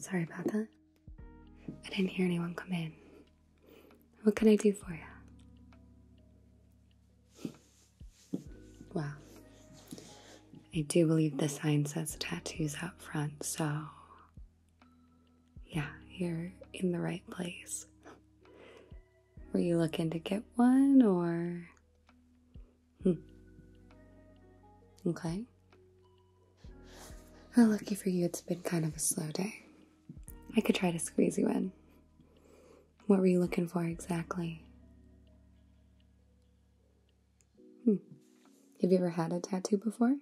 Sorry about that. I didn't hear anyone come in. What can I do for you? Well, I do believe the sign says tattoos up front, so yeah, you're in the right place. Were you looking to get one or. Hmm. Okay. Well, lucky for you, it's been kind of a slow day. I could try to squeeze you in. What were you looking for exactly? Hmm. Have you ever had a tattoo before?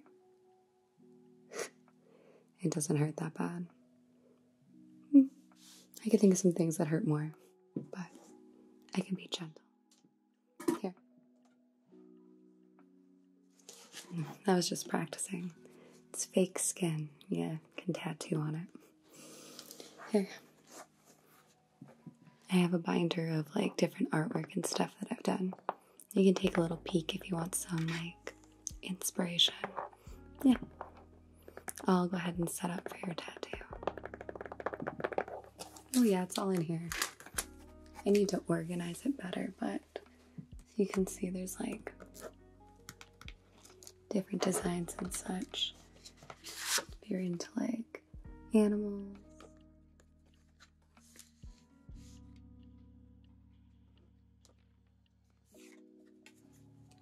it doesn't hurt that bad. Hmm. I could think of some things that hurt more, but I can be gentle. Here. I was just practicing. It's fake skin. Yeah, can tattoo on it. Here. I have a binder of like different artwork and stuff that I've done. You can take a little peek if you want some like inspiration. Yeah. I'll go ahead and set up for your tattoo. Oh, yeah, it's all in here. I need to organize it better, but you can see there's like different designs and such. If you're into like animals.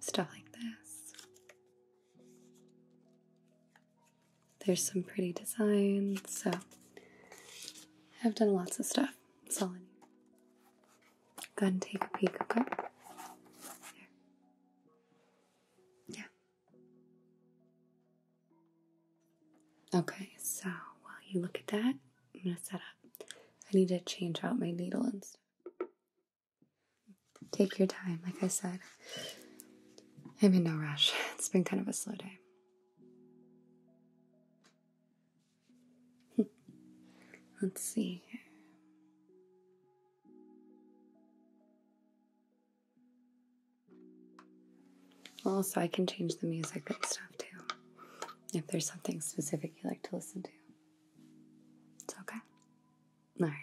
Stuff like this. There's some pretty designs, so I've done lots of stuff. It's all in Go ahead and take a peek, okay? Yeah. Okay, so while you look at that, I'm gonna set up. I need to change out my needle and stuff. Take your time, like I said. I'm in no rush. It's been kind of a slow day. Let's see. Also, I can change the music and stuff too. If there's something specific you like to listen to, it's okay. All right.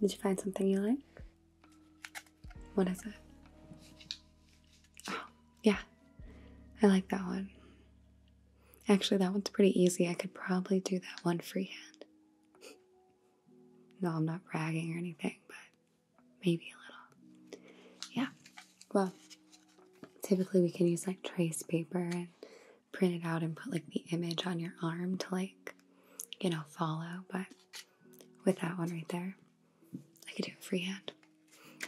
Did you find something you like? What is it? Oh, yeah. I like that one. Actually, that one's pretty easy. I could probably do that one freehand. No, I'm not bragging or anything, but maybe a little. Yeah. Well, typically we can use like trace paper and print it out and put like the image on your arm to like, you know, follow. But with that one right there, I could do it freehand.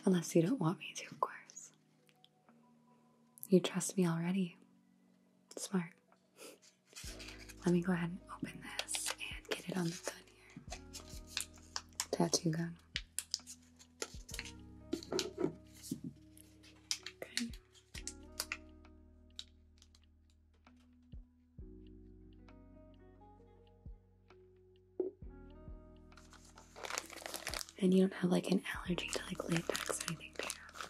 Unless you don't want me to, of course. You trust me already. Smart. Let me go ahead and open this and get it on the gun here. Tattoo gun. And you don't have like an allergy to like latex or anything, do you?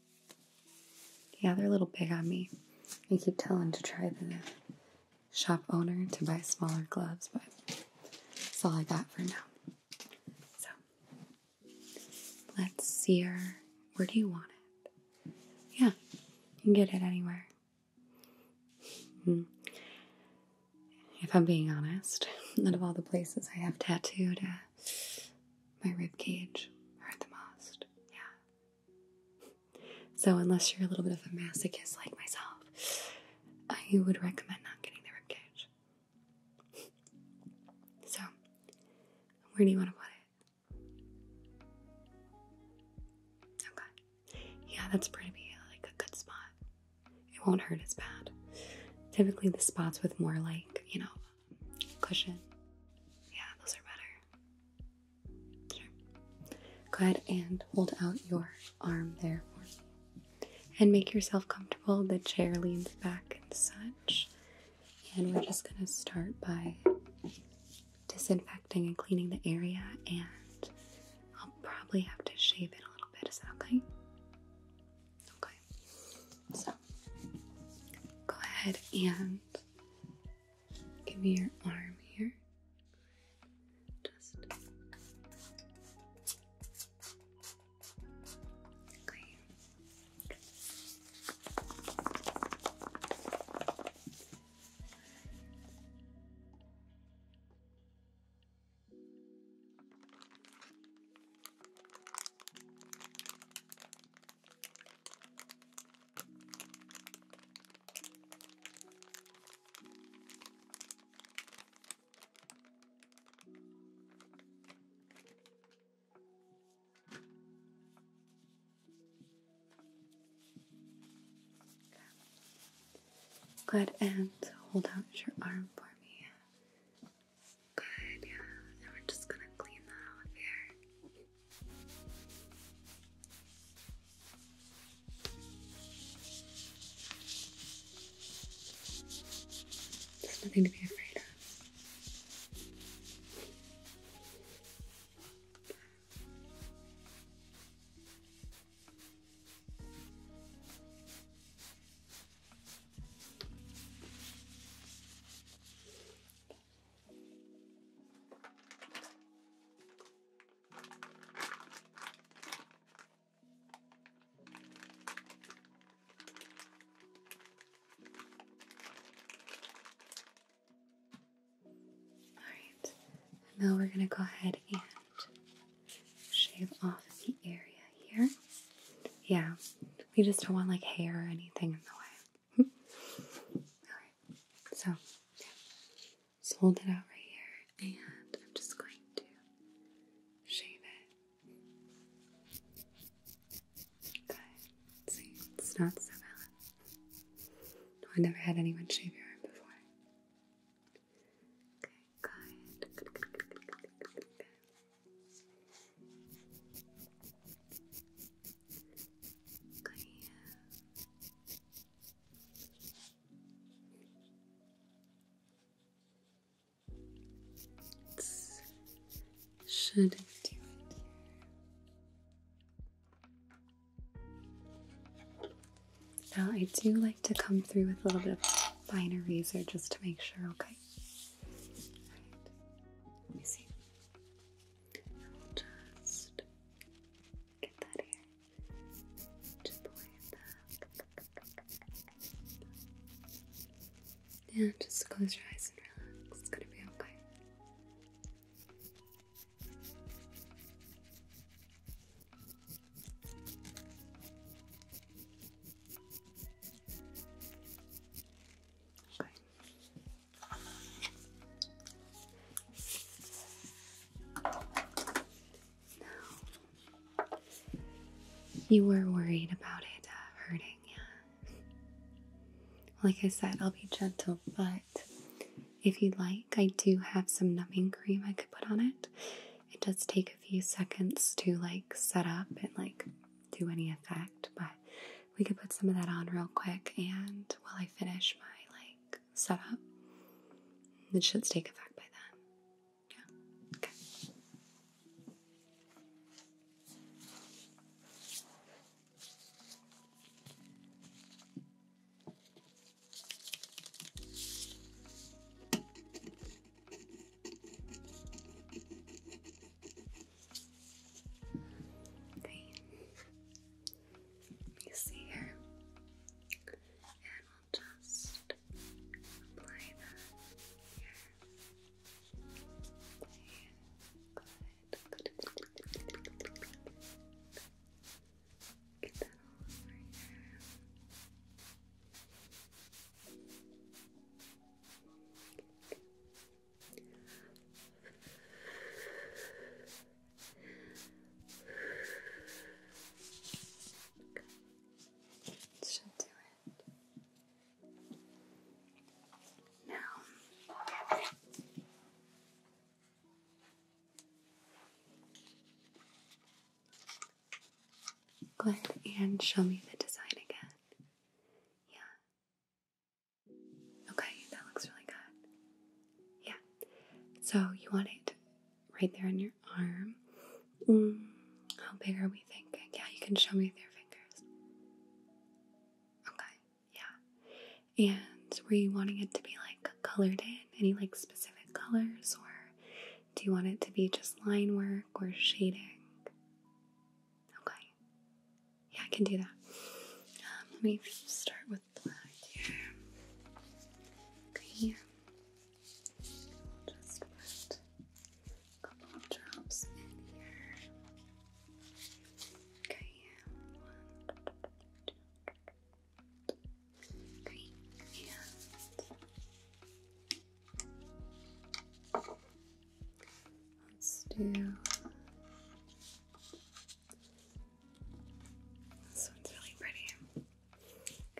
Yeah, they're a little big on me. I keep telling to try the shop owner to buy smaller gloves, but that's all I got for now. So let's see her. Where do you want it? Yeah, you can get it anywhere. Hmm. If I'm being honest, none of all the places I have tattooed, uh, my rib cage hurt the most. Yeah, so, unless you're a little bit of a masochist like myself, I would recommend not getting the ribcage. So, where do you want to put it? Okay. Yeah, that's pretty like a good spot. It won't hurt as bad. Typically, the spots with more like, you know, cushion. Yeah, those are better. Sure. Go ahead and hold out your arm there for me. And make yourself comfortable. The chair leans back and such. And we're just going to start by disinfecting and cleaning the area. And I'll probably have to shave it a little bit. Is that okay? Okay. So go ahead and give me your arm here. Just okay. Good, and hold out your arm for me. Good, yeah. And we're just gonna clean that off here. There's nothing to be afraid of. Alright, now we're going to go ahead and shave off the area here. Yeah, we just don't want like hair or anything in the way. So, yeah. just hold it out right here, and I'm just going to shave it. Okay. See, it's not so bad. No, I never had anyone shave your arm before. Okay, good should do it Now I do like to come through with a little bit of finer razor just to make sure, okay? Let me see just get that here. Just pull Yeah, just close your eyes and relax. It's gonna be okay. Okay. You were worried about it uh, hurting, yeah. Like I said, I'll be gentle, but if you'd like, I do have some numbing cream I could put on it. It does take a few seconds to like set up and like do any effect, but we could put some of that on real quick and while I finish my like setup. It should take effect by then. Okay. You see here. And we'll just apply that here. Okay. Good. Get that all over here. Good. Should do it. Now Go ahead and show me the design again. Yeah. Okay, that looks really good. Yeah. So you want it right there on your arm. Mm, how big are we thinking? Yeah, you can show me with your fingers. Okay, yeah. And were you wanting it to be like colored in? Any like specific colors? Or do you want it to be just line work or shading? Okay. Yeah, I can do that. Um, let me start with apply here. Okay, We'll just put a couple drops in here. Okay, one, let's do this one's really pretty. Okay, i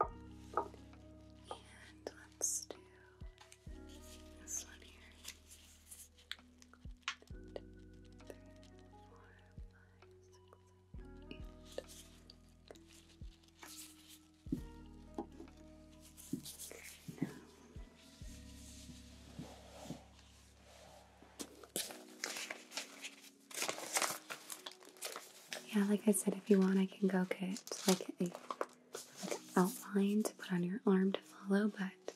Okay. And let's do this one here. One, two, three, four, five, six, seven, eight yeah, like I said, if you want, I can go get like a like outline to put on your arm to follow. But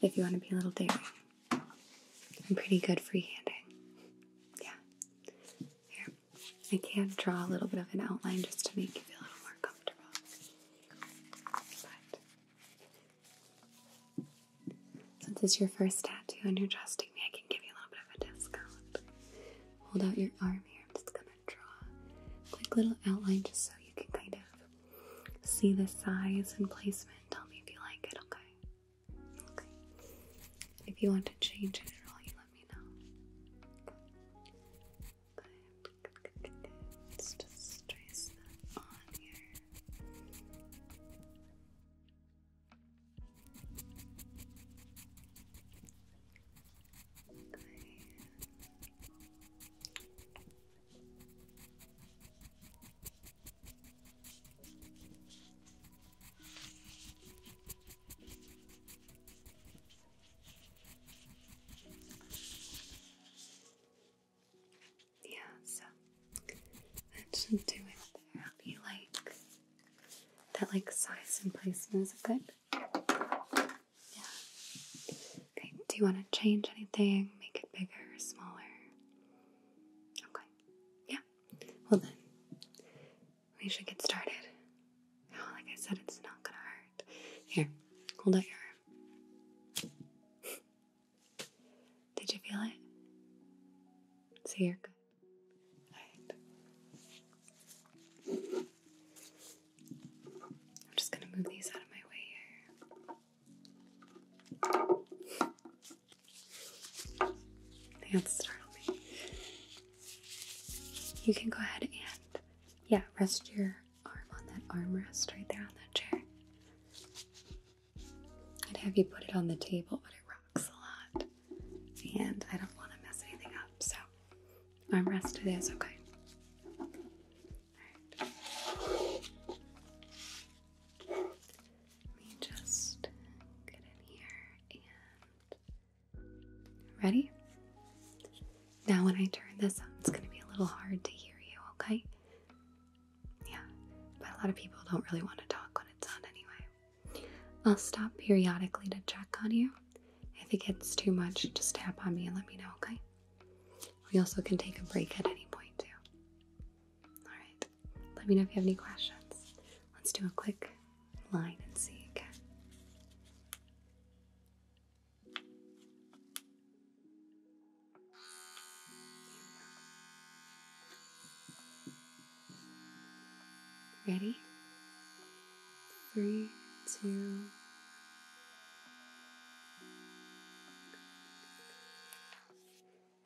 if you want to be a little daring, I'm pretty good freehanding. Yeah. Here. I can draw a little bit of an outline just to make you feel a little more comfortable. But since it's your first tattoo and you're trusting me, I can give you a little bit of a discount. Hold out your arm here. I'm just gonna draw quick little outline just so you can kind of see the size and placement. Tell me if you like it, okay? Okay. If you want to change it at all, you let me us just trace that on here. Okay. Yeah, so that should do it there. I feel like that like size and placement is good. Yeah. Okay, do you want to change anything? Make it bigger or smaller? Okay. Yeah. Well then we should get started. like I said, it's not gonna hurt. Here, hold out your arm. Did you feel it? See, you're good. All right. I'm just gonna move these out of my way here. don't startle me. You can go ahead and yeah, rest your arm on that armrest right there on that chair. I'd have you put it on the table, but it rocks a lot. And I don't want to mess anything up, so armrest it is, okay? Let me just get in here and Ready? Now, when I turn this on, it's going to be a little hard to hear you, okay? Yeah, but a lot of people don't really want to talk when it's on anyway. I'll stop periodically to check on you. If it gets too much, just tap on me and let me know, okay? We also can take a break at any point, too. All right, let me know if you have any questions. Let's do a quick line and see again. Ready? Three, two,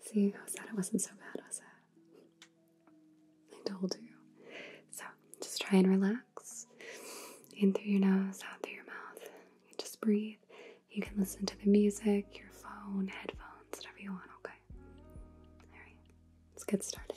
See, I said it wasn't so bad, was it? I told you. So just try and relax in through your nose, out through your mouth. just breathe. You can listen to the music, your phone, headphones, whatever you want, okay? Alright, let's get started.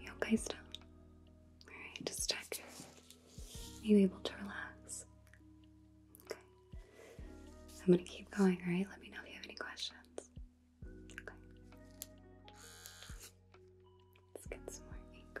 You okay still? Alright, just check. Are you able to relax? Okay. I'm going to keep going, alright? Let me know if you have any questions. Okay. Let's get some more ink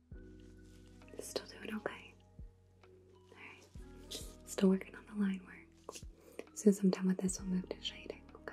Still doing okay. Alright. Still working on the line work. As soon as I'm done with this, we'll move to shading, okay.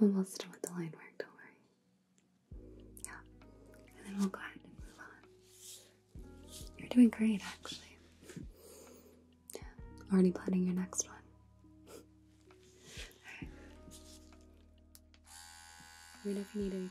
i will still done the line work, don't worry. Yeah. And then we'll go ahead and move on. You're doing great, actually. Already planning your next one. Alright. Let me know if you need anything.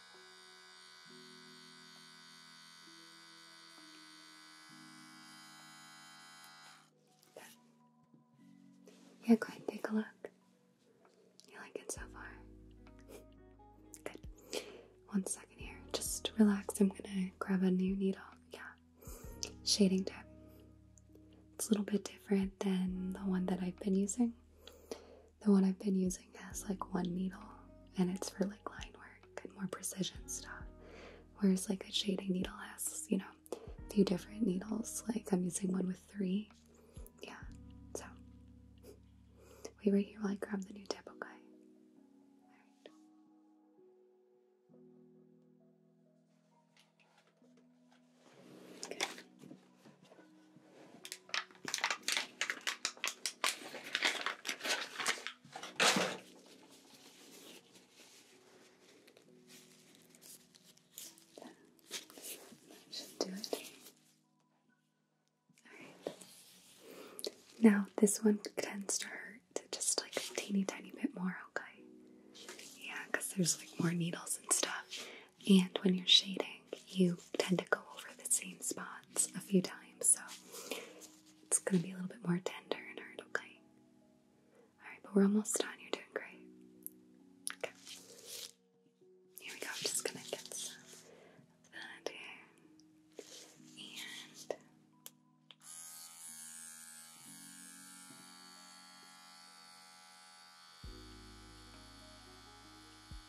Yeah, go ahead take a look. You like it so far? Good. One second here. Just relax. I'm gonna grab a new needle. Yeah. Shading tip. It's a little bit different than the one that I've been using. The one I've been using has like one needle and it's for like line work and more precision stuff. Whereas like a shading needle has, you know, a few different needles. Like I'm using one with three. Yeah. So wait right here while I grab the new tip, okay? Okay should do it. Alright. Now, this one tends to hurt just like a teeny tiny bit more, okay? Yeah, because there's like more needles and stuff. And when you're shading, you tend to go over the same spots a few times, so it's gonna be a little bit more tender and hard, okay? Alright, but we're almost done. You're doing great. Okay. Here we go. I'm just gonna get some of that here. And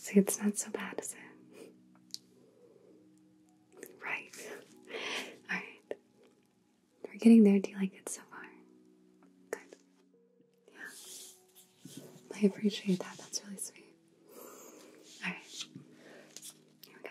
See, it's not so bad, is it? right. All right. We're getting there. Do you like it so far? Good. Yeah. I appreciate that. That's really sweet. All right. Here we go.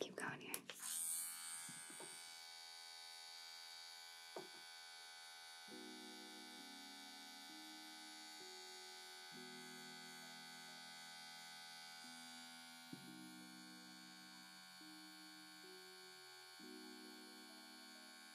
Keep going here.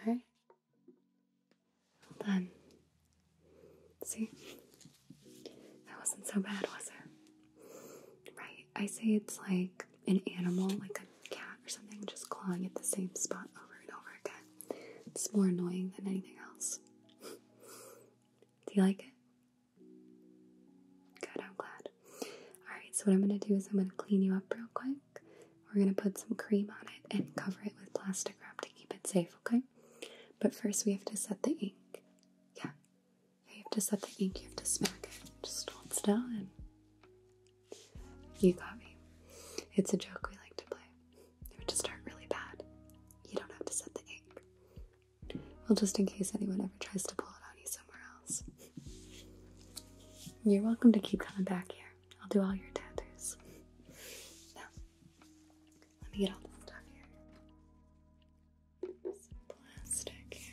Alright? Well done. See? That wasn't so bad, was it? Right. I say it's like an animal, like a cat or something, just clawing at the same spot over and over again. It's more annoying than anything else. Do you like it? Good, I'm glad. Alright, so what I'm going to do is I'm going to clean you up real quick. We're going to put some cream on it and cover it with plastic wrap to keep it safe, okay? But first we have to set the ink. Yeah. You have to set the ink, you have to smack it. Just hold still you got me. It's a joke we like to play. It would just start really bad. You don't have to set the ink. Well, just in case anyone ever tries to pull it on you, you're welcome to keep coming back here. I'll do all your tattoos. let me get all this stuff here. plastic here.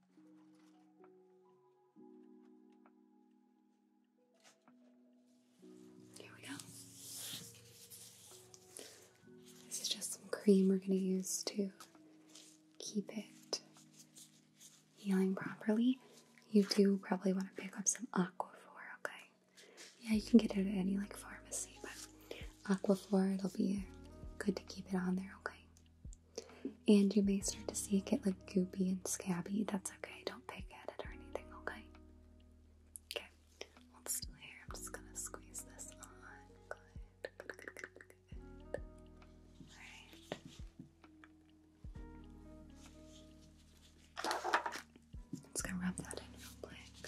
There we go. This is just some cream we're going to use to keep it healing properly. You do probably want to pick up some Aquaphor, okay? Yeah, you can get it at any like pharmacy, but Aquaphor, it'll be good to keep it on there, okay? And you may start to see it get like goopy and scabby. That's okay. Don't pick at it or anything, okay? Okay. still here. I'm just gonna squeeze this on. Alright. just gonna rub that in real quick.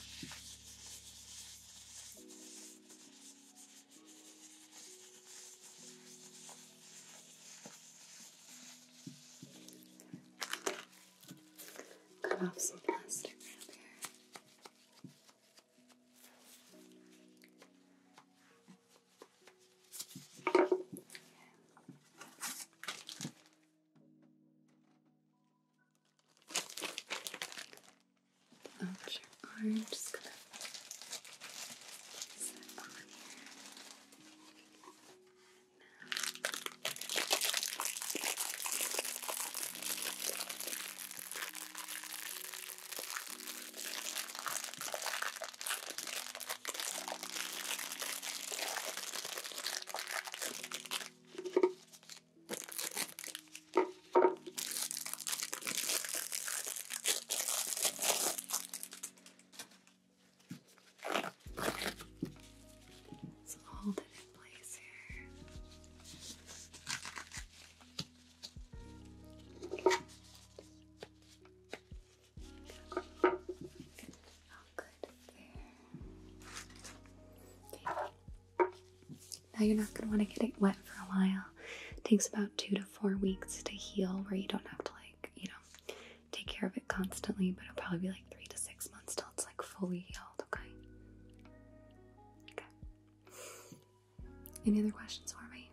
Cut off some plastic wrap here. Okay. Oh, sure arm. Just gonna place that on here. Now. Now you're not going to want to get it wet for a while. It takes about two to four weeks to heal, where you don't have to like, you know, take care of it constantly, but it'll probably be like three to six months till it's like fully healed, okay? Okay. Any other questions for me?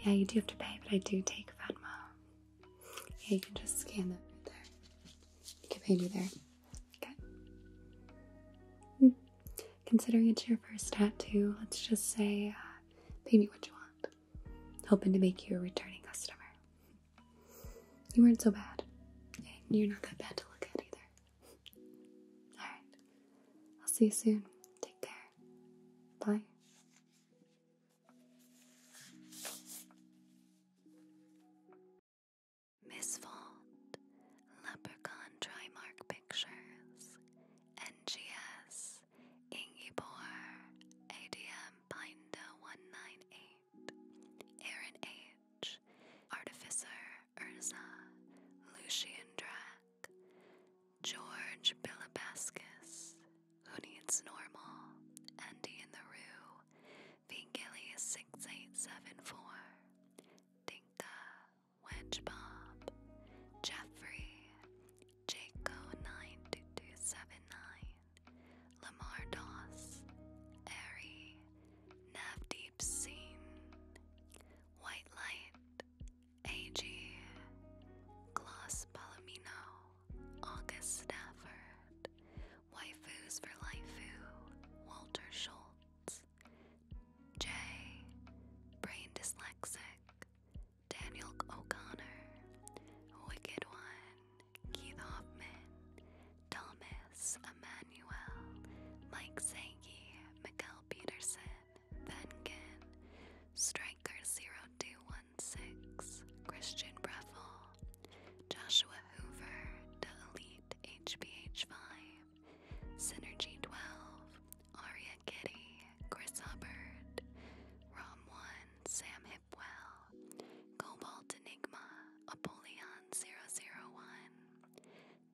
Yeah, you do have to pay, but I do take Venmo. Yeah, you can just scan that right there. You can pay me there. Okay. Hmm considering it's your first tattoo, let's just say, pay uh, me what you want. Hoping to make you a returning customer. You weren't so bad. you're not that bad to look at either. Alright. I'll see you soon. Take care. Bye. Miss Fold, Leprechaun Trimark Pictures, NGS is ADM Binder 198, Aaron H, Artificer Urza, Lucian Drac, George Bilibascus, Who Needs Normal, Andy in the Rue, Vingilius 6874, Dinka, Bob, Jeffrey, Jaco92279, Lamar Dos, Doss, Airy, Deep Scene, White Light, AG, Gloss Palomino, August Stafford, Waifus for Lifeu, Walter Schultz, Jay, Brain Dyslexic, Daniel O'Connor, Wicked One, Keith Hoffman, Thomas Emmanuel, Mike Sankey, Mikel Peterson, Venkin, Striker0216, Christian Breffel, Joshua Hoover, The Elite 5 Synergy12, Aria Kitty, Chris Hubbard, Rom1, Sam Hipwell, Cobalt Enigma, Apollyon 001,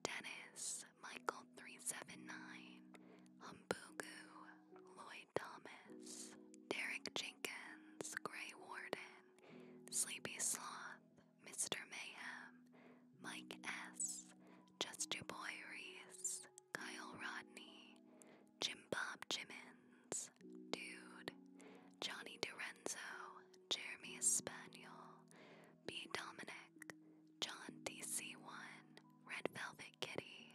Dennis, Michael 379, Humbugu, Lloyd Thomas, Derek Jenkins, Gray Warden, Sleepy Sloth, Mr. Mayhem, Mike S, Just Your Boy Reese, Kyle Rodney, Jim Bob Jimmins, Dude, Johnny Dorenzo, Jeremy Spaniel, B. Dominic, John DC1, Red Velvet Kitty.